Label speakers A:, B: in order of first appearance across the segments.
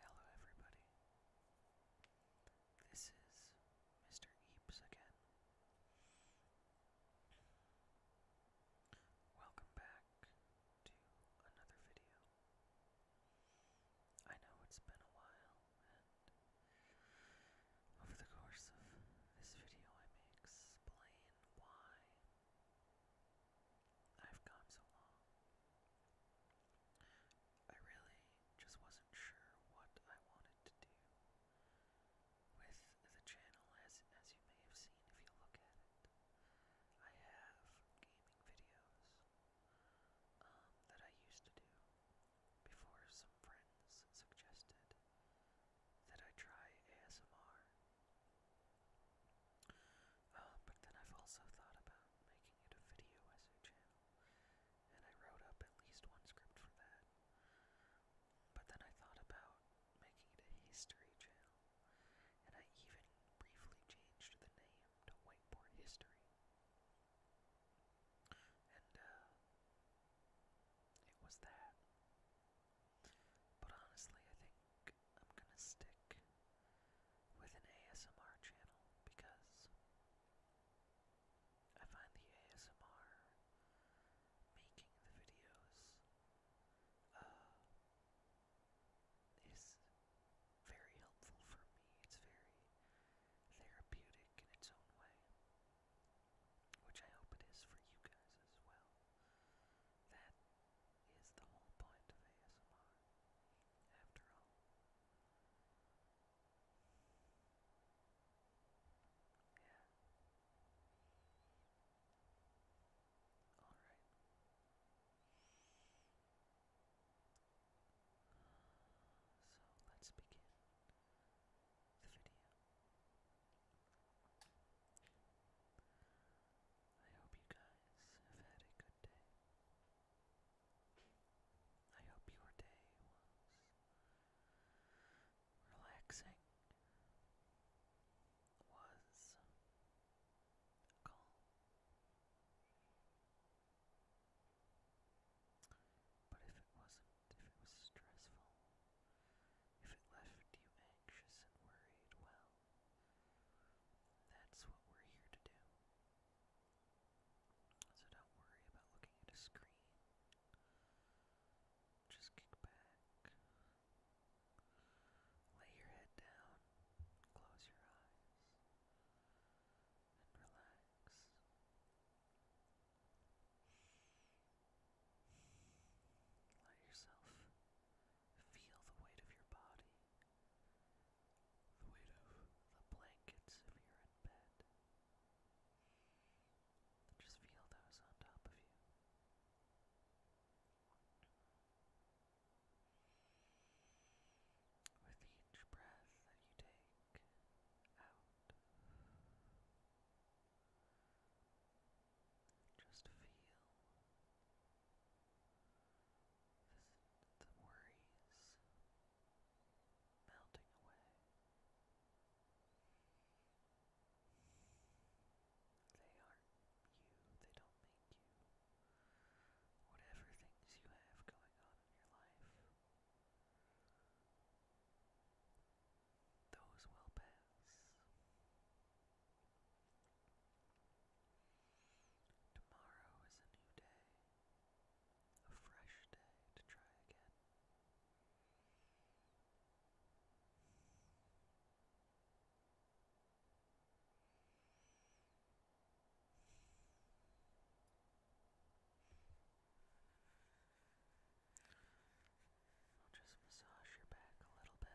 A: Hello, everybody. This is Mr. Eaps again. Welcome back to another video. I know it's been a while, and over the course of this video, I may explain why I've come so long. I really just wasn't sure what I wanted to do with the channel, as, as you may have seen if you look at it. I have gaming videos um, that I used to do before some friends suggested that I try ASMR uh, but then I've also thought about making it a video essay channel, and I wrote up at least one script for that. But then I thought about making it a history channel, and I even briefly changed the name to Whiteboard History. And, uh, it was that. But honestly, I think I'm gonna stick with an ASMR channel because I find the ASMR making the videos uh, is very helpful for me. It's very therapeutic in its own way, which I hope it is for you guys as well. That is the whole point of ASMR, after all. Yeah. All right. So let's begin the video. I hope you guys have had a good day. I hope your day was relaxing, was calm. But if it wasn't, if it was stressful, if it left you anxious and worried, well, that's what we're here to do. So don't worry about looking at a screen. Just kick back. Lay your head down. Close your eyes. And relax. Let yourself Feel the weight of your body, the weight of the blankets if you're in bed. Just feel those on top of you. With each breath that you take out, just feel. The worries melting away. They aren't you, they don't make you. Whatever things you have going on in your life, those will pass. Tomorrow is a new day, a fresh day to try again. I'll just massage your back a little bit. Good.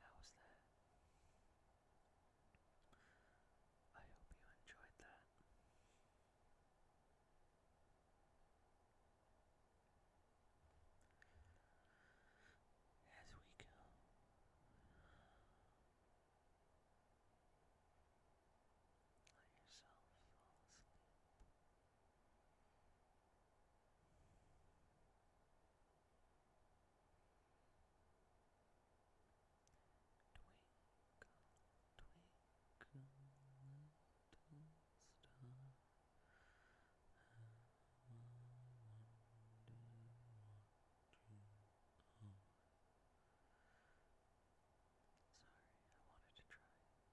A: How was that? I hope you enjoyed that. As we go Let yourself fall asleep. Twinkle, twinkle, little star, how I wonder what you Sorry, I wanted to try singing.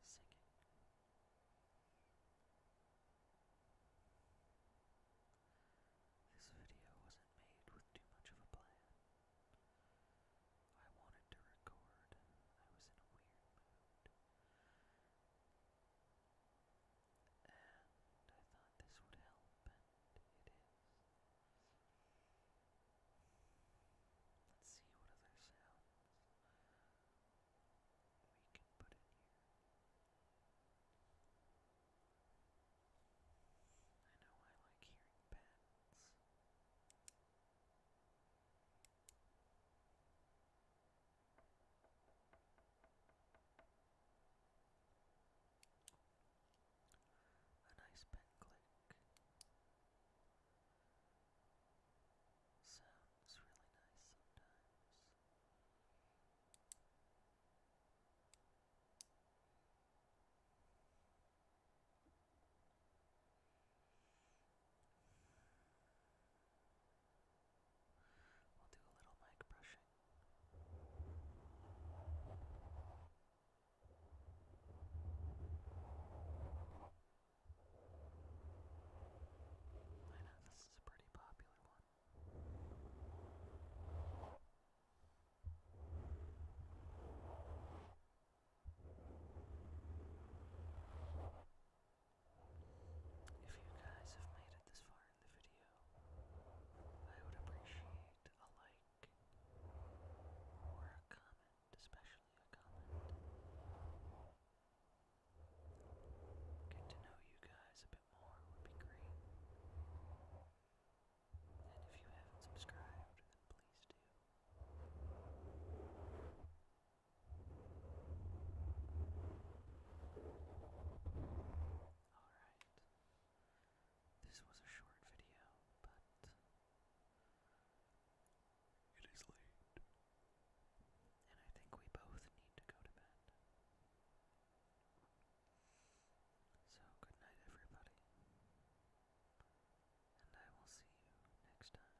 A: This video wasn't made with too much of a plan. I wanted to record. I was in a weird mood and I thought this would help, and it is. Let's see what other sounds we can put in here. I know I like hearing bats. A nice pen click. Sounds really nice sometimes. We'll do a little mic brushing. I know this is a pretty popular one. I if you guys have made it this far in the video, I would appreciate a like or a comment, especially a comment. Get to know you guys a bit more would be great. And if you haven't subscribed, then please do. Alright. This was a short video, but it is late. And I think we both need to go to bed. So, good night, everybody. And I will see you next time.